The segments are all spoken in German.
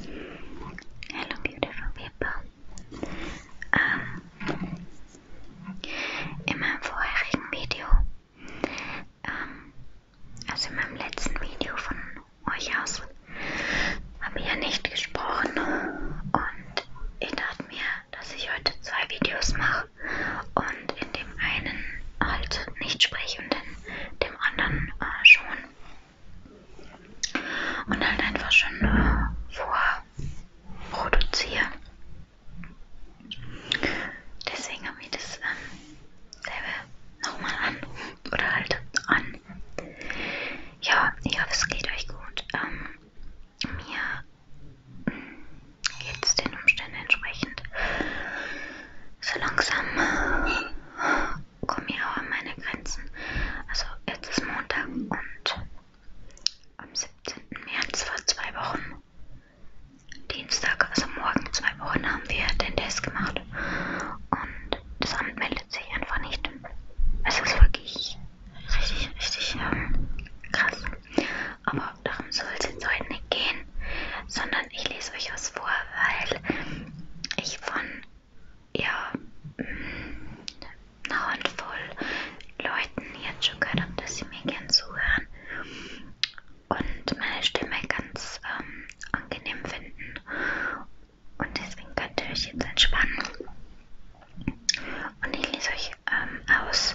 Hello, beautiful people. Ähm, in meinem vorherigen Video, ähm, also in meinem letzten Video von euch aus, habe ich ja nicht gesprochen und ich dachte mir, dass ich heute zwei Videos mache und in dem einen halt nicht spreche und in dem anderen äh, schon und halt einfach schon äh, vorproduziere. Deswegen habe ich das ähm, selber nochmal an oder halt an. Ja, ich hoffe, es geht euch gut. Ähm, mir geht es den Umständen entsprechend so langsam komme ich auch an meine Grenzen. Also jetzt ist Montag und am 17. März vor zwei Wochen, Dienstag, also morgen zwei Wochen, haben wir den Test gemacht und das Amt meldet sich einfach nicht. Es ist wirklich richtig, richtig ähm, krass. Aber darum soll es jetzt heute nicht gehen, sondern ich lese euch was vor, weil ich von ja, mm, eine Handvoll Leuten jetzt schon gehört habe, dass sie mir gern zuhören und meine Stimme ganz ähm, angenehm finden. Und deswegen könnt ihr euch jetzt entspannen. Und ich lese euch ähm, aus.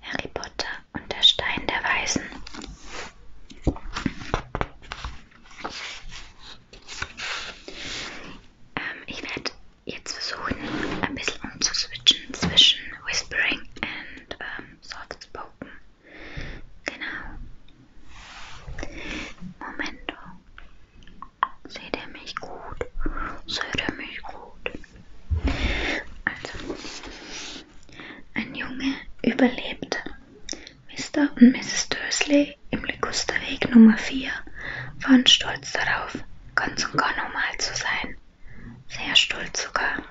Harry Potter und der Stein der Weisen. Ähm, ich werde jetzt versuchen, ein bisschen umzuswitchen zwischen Whispering und ähm, Soft Spoken. Genau. Momento. Seht ihr mich gut? Seht ihr mich gut? Also. Ein Junge überlebte. Mr. und Mrs. Dursley im Ligusterweg Nummer 4 waren stolz darauf, ganz und gar normal zu sein. Sehr stolz sogar.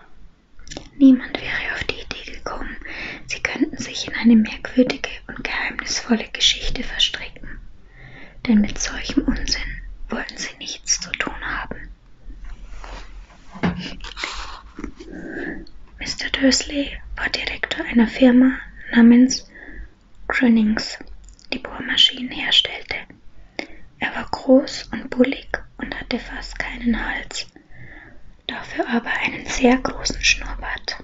Niemand wäre auf die Idee gekommen, sie könnten sich in eine merkwürdige und geheimnisvolle Geschichte verstricken. Denn mit solchem Unsinn wollten sie nichts zu tun haben. Mr. Dursley war Direktor einer Firma namens Grönings, die Bohrmaschinen herstellte. Er war groß und bullig und hatte fast keinen Hals, dafür aber einen sehr großen Schnurrbart.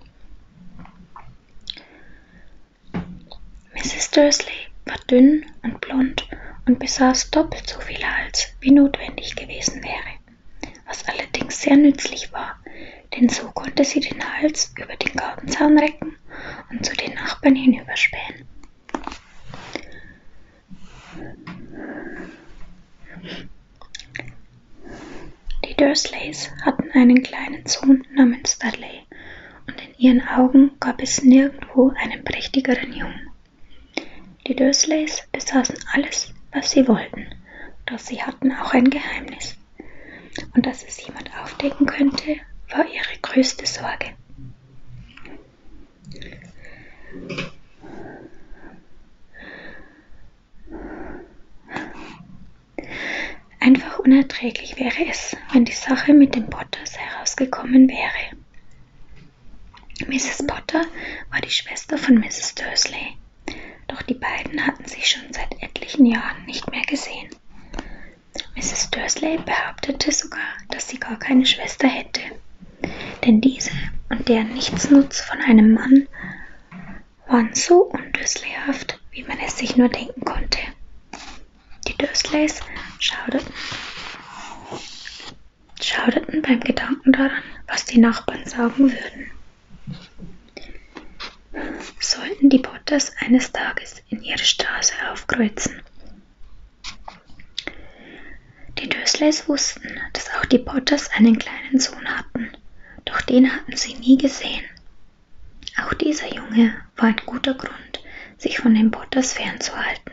Mrs. Dursley war dünn und blond und besaß doppelt so viel Hals Platz wie notwendig gewesen wäre, was allerdings sehr nützlich war, denn so konnte sie den Hals über den Gartenzaun recken und zu den Nachbarn hinüberspähen. Die Dursleys hatten einen kleinen Sohn namens Dudley, und in ihren Augen gab es nirgendwo einen prächtigeren Jungen. Die Dursleys besaßen alles, was sie wollten, doch sie hatten auch ein Geheimnis. Und dass es jemand aufdecken könnte, war ihre größte Sorge. Einfach unerträglich wäre es, wenn die Sache mit den Potters herausgekommen wäre. Mrs. Potter war die Schwester von Mrs. Dursley, doch die beiden hatten sich schon seit etlichen Jahren nicht mehr gesehen. Mrs. Dursley behauptete sogar, dass sie gar keine Schwester hätte, denn diese und der Nichtsnutz von einem Mann waren so undursleyhaft, wie man es sich nur denken konnte. Die Dursleys schauderten schauderten beim Gedanken daran, was die Nachbarn sagen würden. Sollten die Potters eines Tages in ihre Straße aufkreuzen. Die Dösleys wussten, dass auch die Potters einen kleinen Sohn hatten, doch den hatten sie nie gesehen. Auch dieser Junge war ein guter Grund, sich von den Potters fernzuhalten.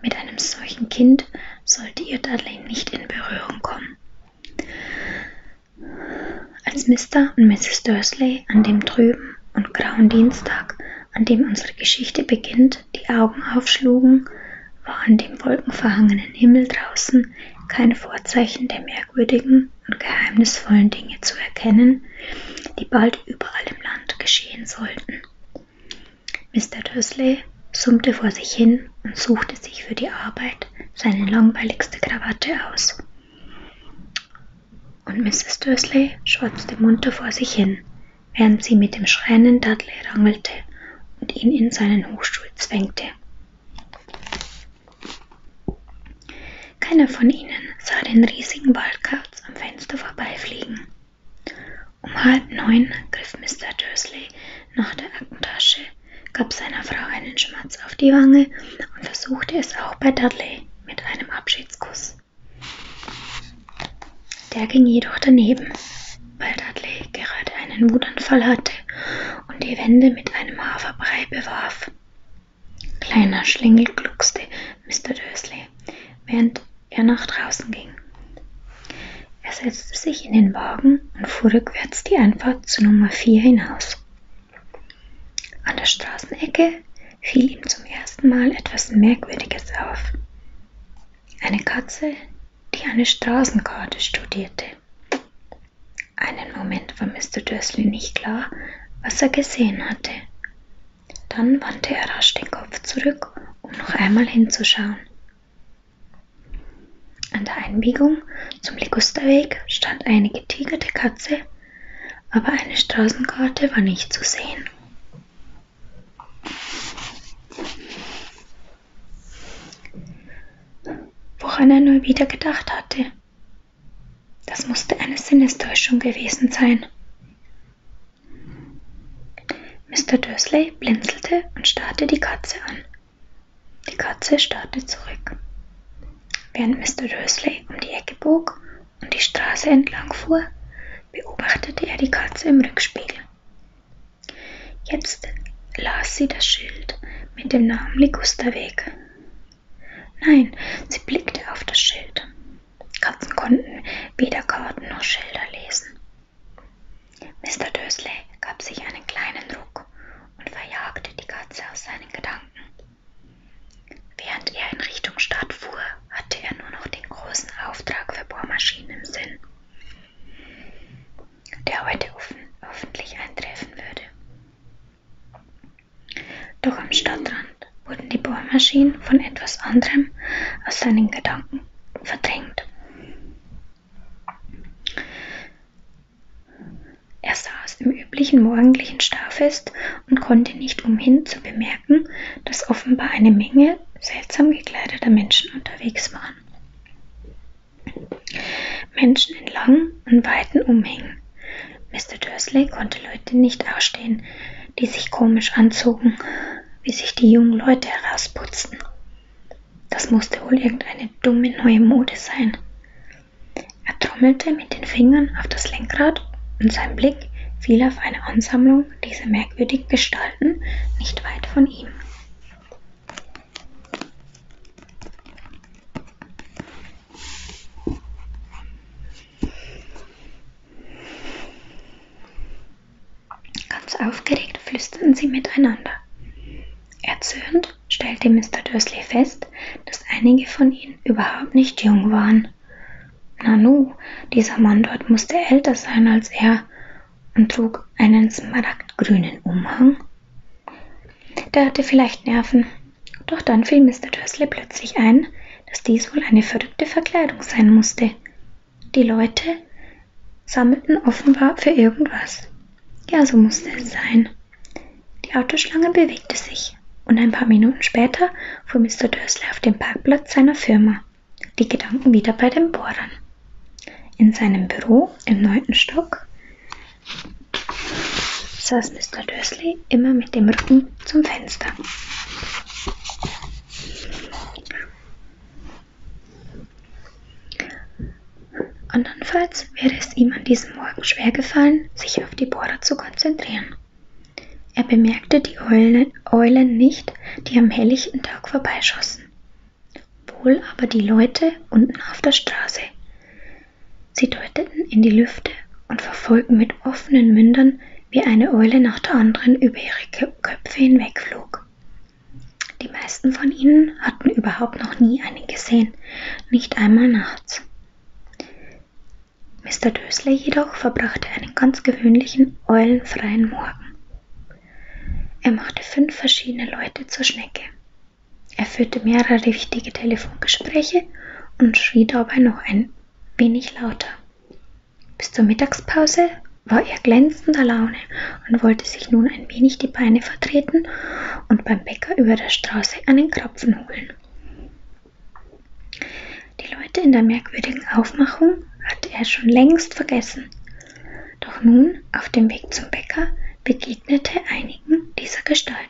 Mit einem solchen Kind sollte ihr Darlene nicht in Berührung kommen. Als Mr. und Mrs. Dursley an dem trüben und grauen Dienstag, an dem unsere Geschichte beginnt, die Augen aufschlugen, war an dem wolkenverhangenen Himmel draußen keine Vorzeichen der merkwürdigen und geheimnisvollen Dinge zu erkennen, die bald überall im Land geschehen sollten. Mr. Dursley summte vor sich hin und suchte sich für die Arbeit seine langweiligste Krawatte aus. Und Mrs. Dursley schwatzte munter vor sich hin, während sie mit dem schreienden Dudley rangelte und ihn in seinen Hochstuhl zwängte. Keiner von ihnen sah den riesigen Waldkauz am Fenster vorbeifliegen, um halb neun griff Mr. Dursley nach der Aktentasche, gab seiner Frau einen Schmatz auf die Wange und versuchte es auch bei Dudley mit einem Abschiedskuss. Der ging jedoch daneben, weil Dudley gerade einen Wutanfall hatte und die Wände mit einem Haferbrei bewarf. Kleiner Schlingel gluckste Mr. Dursley während er nach draußen ging. Er setzte sich in den Wagen und fuhr rückwärts die Einfahrt zu Nummer 4 hinaus. An der Straßenecke fiel ihm zum ersten Mal etwas Merkwürdiges auf. Eine Katze, die eine Straßenkarte studierte. Einen Moment war Mr. Dursley nicht klar, was er gesehen hatte. Dann wandte er rasch den Kopf zurück, um noch einmal hinzuschauen. An der Einbiegung zum Ligusterweg stand eine getigerte Katze, aber eine Straßenkarte war nicht zu sehen. Woran er nur wieder gedacht hatte. Das musste eine Sinnestäuschung gewesen sein. Mr. Dursley blinzelte und starrte die Katze an. Die Katze starrte zurück. Während Mr. Dursley um die Ecke bog und die Straße entlang fuhr, beobachtete er die Katze im Rückspiegel. Jetzt las sie das Schild mit dem Namen Ligusterweg. Nein, sie blickte auf das Schild. Katzen konnten weder Karten noch Schilder lesen. Mr. Dursley gab sich einen kleinen Ruck und verjagte die Katze aus seinen Gedanken. Während er in Richtung Stadt fuhr, hatte er nur noch den großen Auftrag für Bohrmaschinen im Sinn, der heute offen, hoffentlich eintreffen würde. Doch am Stadtrand wurden die Bohrmaschinen von etwas anderem aus seinen Gedanken verdrängt. Er saß im üblichen morgendlichen Starrfest und konnte nicht umhin zu bemerken, dass offenbar eine Menge seltsam gekleideter Menschen unterwegs waren. Menschen in langen und weiten Umhängen. Mr. Dursley konnte Leute nicht ausstehen, die sich komisch anzogen wie sich die jungen Leute herausputzen. Das musste wohl irgendeine dumme neue Mode sein. Er trommelte mit den Fingern auf das Lenkrad und sein Blick fiel auf eine Ansammlung dieser merkwürdigen Gestalten nicht weit von ihm. Ganz aufgeregt flüsterten sie miteinander. Erzürnt stellte Mr. Dursley fest, dass einige von ihnen überhaupt nicht jung waren. Nanu, dieser Mann dort musste älter sein als er und trug einen smaragdgrünen Umhang. Der hatte vielleicht Nerven. Doch dann fiel Mr. Dursley plötzlich ein, dass dies wohl eine verrückte Verkleidung sein musste, die Leute sammelten offenbar für irgendwas. Ja, so musste es sein. Die Autoschlange bewegte sich und ein paar Minuten später fuhr Mr. Dursley auf den Parkplatz seiner Firma, die Gedanken wieder bei den Bohrern. In seinem Büro im neunten Stock saß Mr. Dursley immer mit dem Rücken zum Fenster. Andernfalls wäre es ihm an diesem Morgen schwergefallen, sich auf die Bohrer zu konzentrieren. Er bemerkte die Eulen, Eulen nicht, die am helllichten Tag vorbeischossen, wohl aber die Leute unten auf der Straße. Sie deuteten in die Lüfte und verfolgten mit offenen Mündern wie eine Eule nach der anderen über ihre Köpfe hinwegflog. Die meisten von ihnen hatten überhaupt noch nie einen gesehen, nicht einmal nachts. Mr. Dösler jedoch verbrachte einen ganz gewöhnlichen, eulenfreien Morgen. Er machte fünf verschiedene Leute zur Schnecke. Er führte mehrere wichtige Telefongespräche und schrie dabei noch ein wenig lauter. Bis zur Mittagspause war er glänzender Laune und wollte sich nun ein wenig die Beine vertreten und beim Bäcker über der Straße einen Krapfen holen. Die Leute in der merkwürdigen Aufmachung hatte er schon längst vergessen. Doch nun, auf dem Weg zum Bäcker, begegnete einigen dieser Gestalten.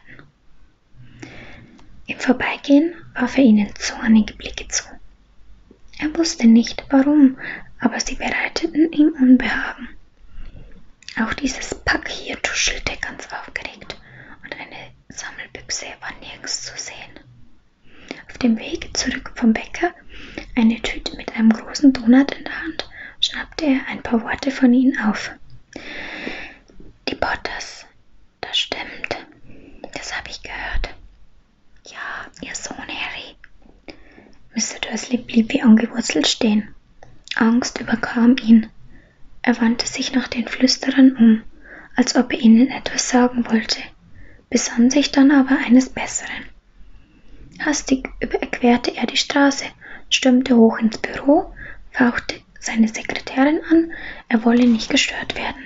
Im Vorbeigehen warf er ihnen zornige Blicke zu er wusste nicht warum, aber sie bereiteten ihm Unbehagen. Auch dieses Pack hier tuschelte ganz aufgeregt und eine Sammelbüchse war nirgends zu sehen. Auf dem Weg zurück vom Bäcker, eine Tüte mit einem großen Donut in der Hand, schnappte er ein paar Worte von ihnen auf. Die Potters, das stimmt. Das habe ich gehört. Ja, ihr Sohn Harry. Mr. Dursley blieb wie angewurzelt stehen. Angst überkam ihn. Er wandte sich nach den Flüsterern um, als ob er ihnen etwas sagen wollte, besann sich dann aber eines Besseren. Hastig überquerte er die Straße, stürmte hoch ins Büro, fauchte seine Sekretärin an, er wolle nicht gestört werden,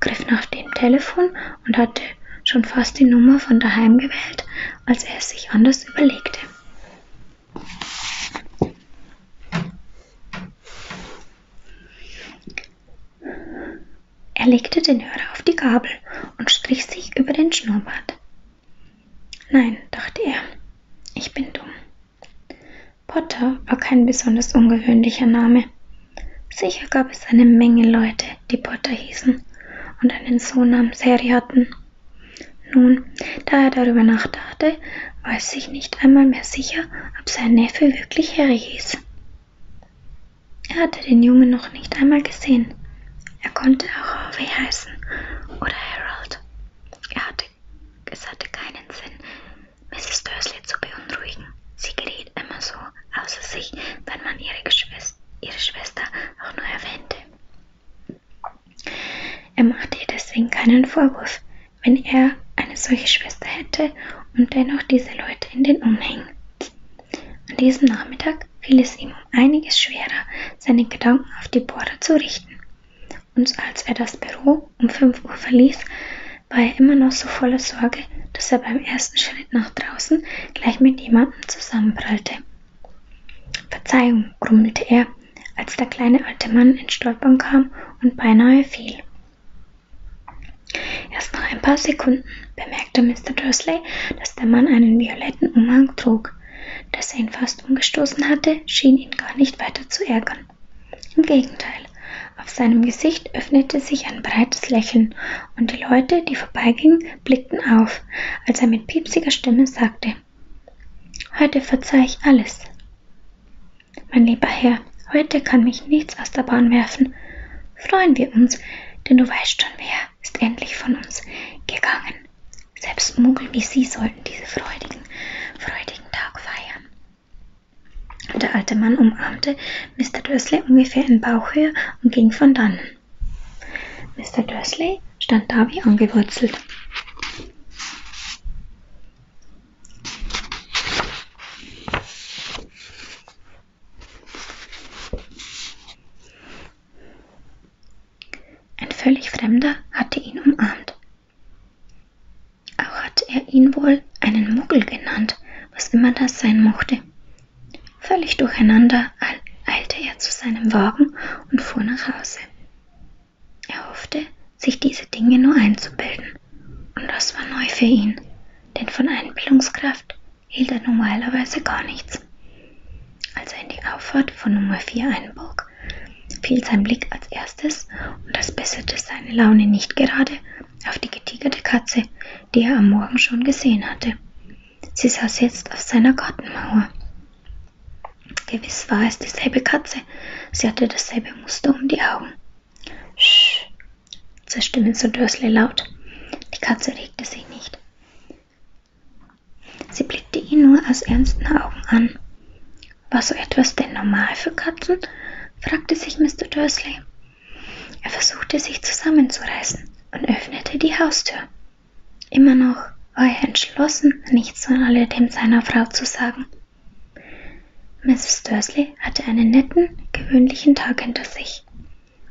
griff nach dem Telefon und hatte schon fast die Nummer von daheim gewählt, als er es sich anders überlegte. Er legte den Hörer auf die Gabel und strich sich über den Schnurrbart. Nein, dachte er, ich bin dumm. Potter war kein besonders ungewöhnlicher Name. Sicher gab es eine Menge Leute, die Potter hießen und einen Sohn namens Harry hatten. Nun, da er darüber nachdachte, war es sich nicht einmal mehr sicher, ob sein Neffe wirklich Harry hieß. Er hatte den Jungen noch nicht einmal gesehen. Er konnte auch Harvey heißen oder Harold. Er hatte, es hatte keinen Sinn, Mrs. Dursley zu beunruhigen. Sie geriet immer so außer sich, wenn man ihre, Geschwister, ihre Schwester auch nur erwähnte. Er machte ihr deswegen keinen Vorwurf, wenn er eine solche Schwester hätte und dennoch diese Leute in den Umhängen. An diesem Nachmittag fiel es ihm um einiges schwerer, seine Gedanken auf die Bohrer zu richten. Und als er das Büro um 5 Uhr verließ, war er immer noch so voller Sorge, dass er beim ersten Schritt nach draußen gleich mit jemandem zusammenprallte. Verzeihung, grummelte er, als der kleine alte Mann ins Stolpern kam und beinahe fiel. Erst nach ein paar Sekunden bemerkte Mr. Dursley, dass der Mann einen violetten Umhang trug. Dass er ihn fast umgestoßen hatte, schien ihn gar nicht weiter zu ärgern. Im Gegenteil, auf seinem Gesicht öffnete sich ein breites Lächeln, und die Leute, die vorbeigingen, blickten auf, als er mit piepsiger Stimme sagte Heute verzeih ich alles. Mein lieber Herr, heute kann mich nichts aus der Bahn werfen. Freuen wir uns, denn du weißt schon, wer ist endlich von uns gegangen. Selbst Muggel wie Sie sollten diese freudigen, freudigen Tag feiern. Der alte Mann umarmte Mr. Dursley ungefähr in Bauchhöhe und ging von dannen. Mr. Dursley stand da wie angewurzelt. Ein völlig Fremder hatte ihn umarmt. Auch hatte er ihn wohl einen Muggel genannt, was immer das sein mochte. Völlig durcheinander eilte er zu seinem Wagen und fuhr nach Hause. Er hoffte, sich diese Dinge nur einzubilden. Und das war neu für ihn, denn von Einbildungskraft hielt er normalerweise gar nichts. Als er in die Auffahrt von Nummer 4 einbog, fiel sein Blick als erstes und das besserte seine Laune nicht gerade, auf die getigerte Katze, die er am Morgen schon gesehen hatte. Sie saß jetzt auf seiner Gartenmauer. Gewiss war es dieselbe Katze. Sie hatte dasselbe Muster um die Augen. Sch, zischte Mr. Dursley laut. Die Katze regte sich nicht. Sie blickte ihn nur aus ernsten Augen an. War so etwas denn normal für Katzen? fragte sich Mr. Dursley. Er versuchte sich zusammenzureißen und öffnete die Haustür. Immer noch war er entschlossen, nichts von alledem seiner Frau zu sagen. Mrs. Dursley hatte einen netten, gewöhnlichen Tag hinter sich.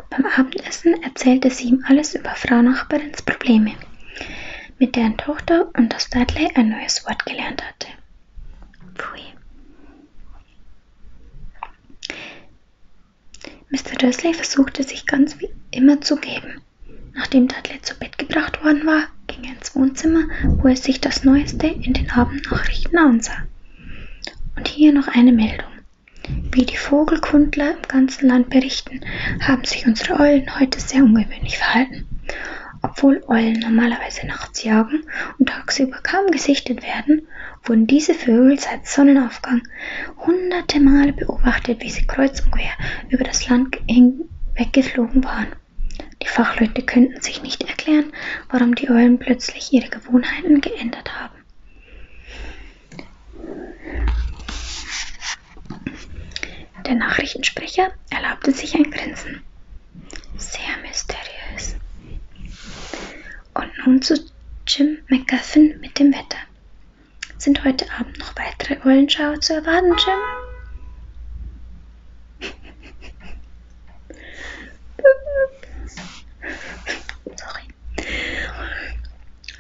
Beim Abendessen erzählte sie ihm alles über Frau Nachbarins Probleme, mit deren Tochter und dass Dudley ein neues Wort gelernt hatte. Pfui. Mr. Dursley versuchte sich ganz wie immer zu geben. Nachdem Dudley zu Bett gebracht worden war, ging er ins Wohnzimmer, wo er sich das Neueste in den Abendnachrichten ansah. Und hier noch eine Meldung. Wie die Vogelkundler im ganzen Land berichten, haben sich unsere Eulen heute sehr ungewöhnlich verhalten. Obwohl Eulen normalerweise nachts jagen und tagsüber kaum gesichtet werden, wurden diese Vögel seit Sonnenaufgang hunderte Male beobachtet, wie sie kreuz und quer über das Land hinweggeflogen waren. Die Fachleute könnten sich nicht erklären, warum die Eulen plötzlich ihre Gewohnheiten geändert haben. Der Nachrichtensprecher erlaubte sich ein Grinsen. Sehr mysteriös. Und nun zu Jim McGuffin mit dem Wetter. Sind heute Abend noch weitere Eulenschauer zu erwarten, Jim? Sorry.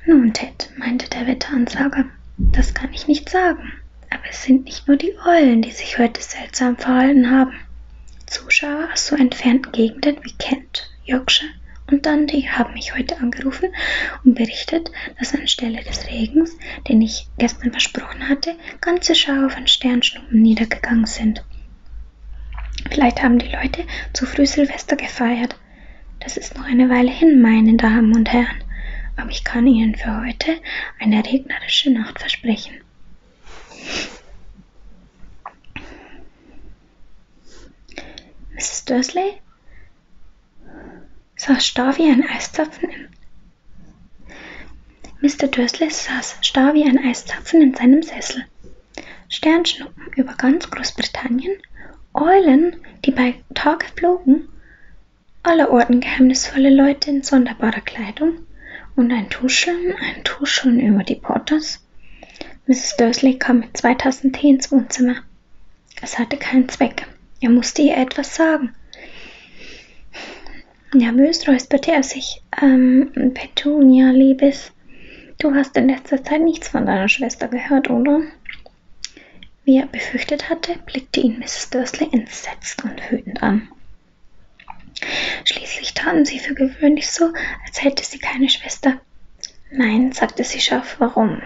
Nun, Ted, meinte der Wetteransager, das kann ich nicht sagen. Aber es sind nicht nur die Eulen, die sich heute seltsam verhalten haben. Zuschauer aus so entfernten Gegenden wie Kent, Yorkshire und Dundee haben mich heute angerufen und berichtet, dass anstelle des Regens, den ich gestern versprochen hatte, ganze Schauer von Sternschnuppen niedergegangen sind. Vielleicht haben die Leute zu früh Silvester gefeiert. Das ist noch eine Weile hin, meine Damen und Herren, aber ich kann Ihnen für heute eine regnerische Nacht versprechen. Mrs. Dursley? saß starr wie ein Eiszapfen im Mr. Dursley saß starr wie ein Eiszapfen in seinem Sessel. Sternschnuppen über ganz Großbritannien, Eulen, die bei Tage flogen, allerorten geheimnisvolle Leute in sonderbarer Kleidung, und ein Tuscheln, ein Tuscheln über die Porters. Mrs. Dursley kam mit zwei Tassen Tee ins Wohnzimmer. Es hatte keinen Zweck. Er musste ihr etwas sagen. Nervös räusperte er sich. Ähm, Petunia, Liebes, du hast in letzter Zeit nichts von deiner Schwester gehört, oder? Wie er befürchtet hatte, blickte ihn Mrs. Dursley entsetzt und wütend an. Schließlich taten sie für gewöhnlich so, als hätte sie keine Schwester. Nein, sagte sie scharf, warum?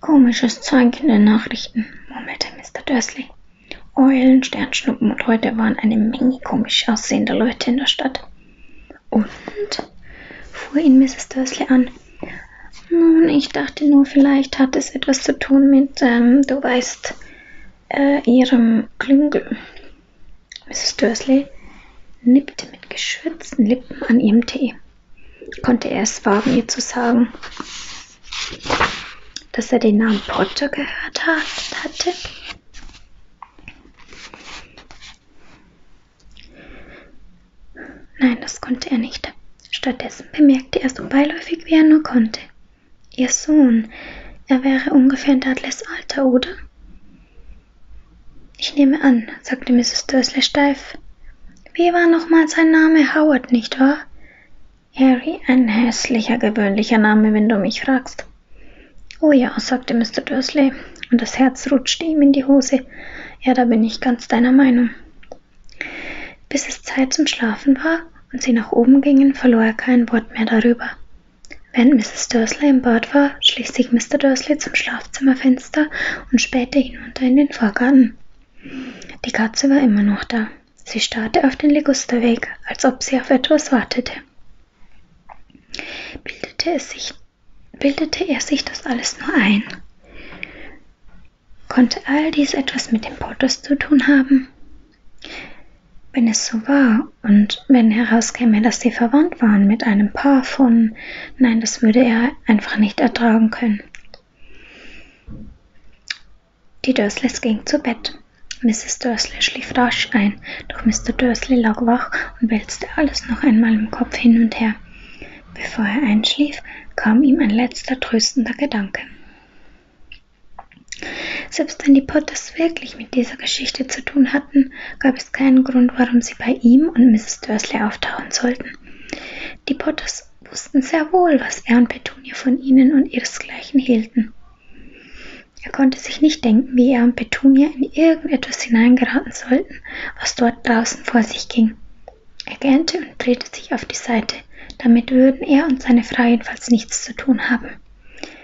Komisches Zeug in den Nachrichten, murmelte Mr. Dursley. Eulen, Sternschnuppen und heute waren eine Menge komisch aussehender Leute in der Stadt. Und? fuhr ihn Mrs. Dursley an. Nun, ich dachte nur, vielleicht hat es etwas zu tun mit, ähm, du weißt, äh, ihrem Klüngel. Mrs. Dursley nippte mit geschürzten Lippen an ihrem Tee. Konnte er es wagen, ihr zu sagen, dass er den Namen Potter gehört hat, hatte? Nein, das konnte er nicht. Stattdessen bemerkte er so beiläufig, wie er nur konnte, Ihr Sohn, er wäre ungefähr in Dudleys Alter, oder? Ich nehme an, sagte Mrs. Dursley steif. Wie war nochmal sein Name Howard, nicht wahr? Harry, ein hässlicher, gewöhnlicher Name, wenn du mich fragst. Oh ja, sagte Mr. Dursley, und das Herz rutschte ihm in die Hose. Ja, da bin ich ganz deiner Meinung. Bis es Zeit zum Schlafen war, und sie nach oben gingen, verlor er kein Wort mehr darüber. Während Mrs. Dursley im Bad war, schlich sich Mr. Dursley zum Schlafzimmerfenster und spähte hinunter in den Vorgarten. Die Katze war immer noch da. Sie starrte auf den Ligusterweg, als ob sie auf etwas wartete. Bildete, es sich, bildete er sich das alles nur ein? Konnte all dies etwas mit dem Portus zu tun haben? Wenn es so war und wenn herauskäme, dass sie verwandt waren mit einem Paar von, nein, das würde er einfach nicht ertragen können. Die Dursleys gingen zu Bett. Mrs. Dursley schlief rasch ein, doch Mr. Dursley lag wach und wälzte alles noch einmal im Kopf hin und her. Bevor er einschlief, kam ihm ein letzter tröstender Gedanke. Selbst wenn die Potters wirklich mit dieser Geschichte zu tun hatten, gab es keinen Grund, warum sie bei ihm und Mrs. Dursley auftauchen sollten. Die Potters wussten sehr wohl, was er und Petunia von ihnen und ihresgleichen hielten. Er konnte sich nicht denken, wie er und Petunia in irgendetwas hineingeraten sollten, was dort draußen vor sich ging. Er gähnte und drehte sich auf die Seite. Damit würden er und seine Frau jedenfalls nichts zu tun haben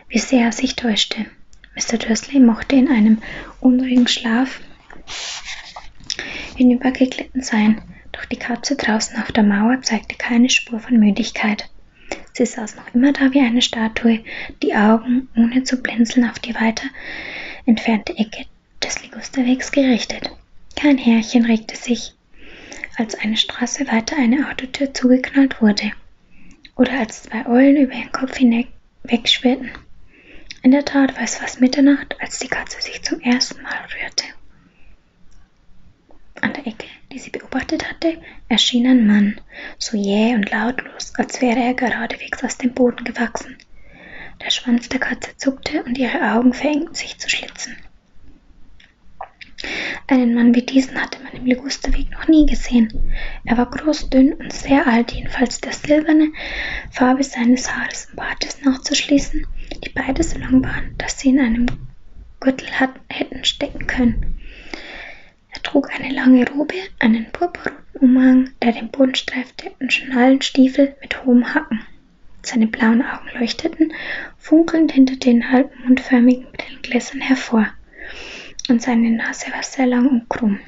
wie sehr er sich täuschte. Mr. Dursley mochte in einem unruhigen Schlaf hinübergeglitten sein, doch die Katze draußen auf der Mauer zeigte keine Spur von Müdigkeit. Sie saß noch immer da wie eine Statue, die Augen ohne zu blinzeln auf die weiter entfernte Ecke des Ligusterwegs gerichtet. Kein Härchen regte sich, als eine Straße weiter eine Autotür zugeknallt wurde oder als zwei Eulen über ihren Kopf hinweg wegschwirrten. In der Tat war es fast Mitternacht, als die Katze sich zum ersten Mal rührte. An der Ecke, die sie beobachtet hatte, erschien ein Mann, so jäh und lautlos, als wäre er geradewegs aus dem Boden gewachsen. Der Schwanz der Katze zuckte und ihre Augen verengten sich zu Schlitzen. Einen Mann wie diesen hatte man im Ligusterweg noch nie gesehen. Er war groß, dünn und sehr alt, jedenfalls der silberne Farbe seines Haares und Bartes nachzuschließen, die beide so lang waren, dass sie in einem Gürtel hat, hätten stecken können. Er trug eine lange Robe, einen purpurroten Umhang, der den Boden streifte, und Schnalenstiefel mit hohem Hacken. Seine blauen Augen leuchteten funkelnd hinter den halbmondförmigen Brillengläsern hervor, und seine Nase war sehr lang und krumm,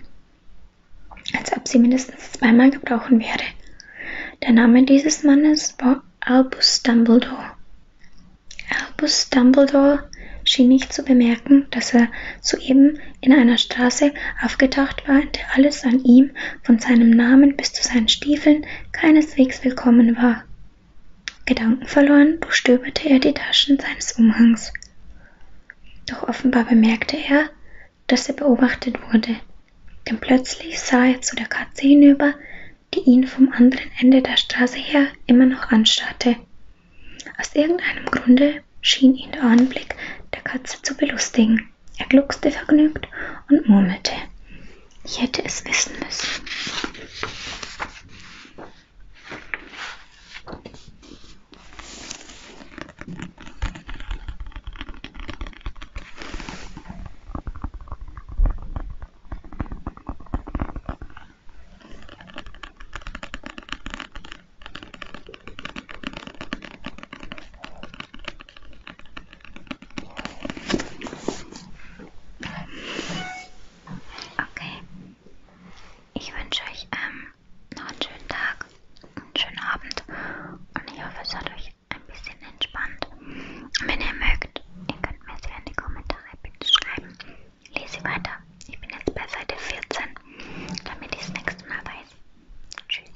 als ob sie mindestens zweimal gebrochen wäre. Der Name dieses Mannes war Albus Dumbledore. Albus Dumbledore schien nicht zu bemerken, dass er soeben in einer Straße aufgetaucht war, in der alles an ihm, von seinem Namen bis zu seinen Stiefeln, keineswegs willkommen war. Gedankenverloren durchstöberte er die Taschen seines Umhangs. Doch offenbar bemerkte er, dass er beobachtet wurde, denn plötzlich sah er zu der Katze hinüber, die ihn vom anderen Ende der Straße her immer noch anstarrte. Aus irgendeinem Grunde schien ihn der Anblick der Katze zu belustigen. Er gluckste vergnügt und murmelte. Ich hätte es wissen müssen. Okay. Ich wünsche euch ähm, noch einen schönen Tag, einen schönen Abend und ich hoffe, es hat euch ein bisschen entspannt. Wenn ihr mögt, ihr könnt mir sehr in die Kommentare bitte schreiben. Lese weiter. Ich bin jetzt bei Seite 14, damit ich das nächste Mal weiß. Tschüss.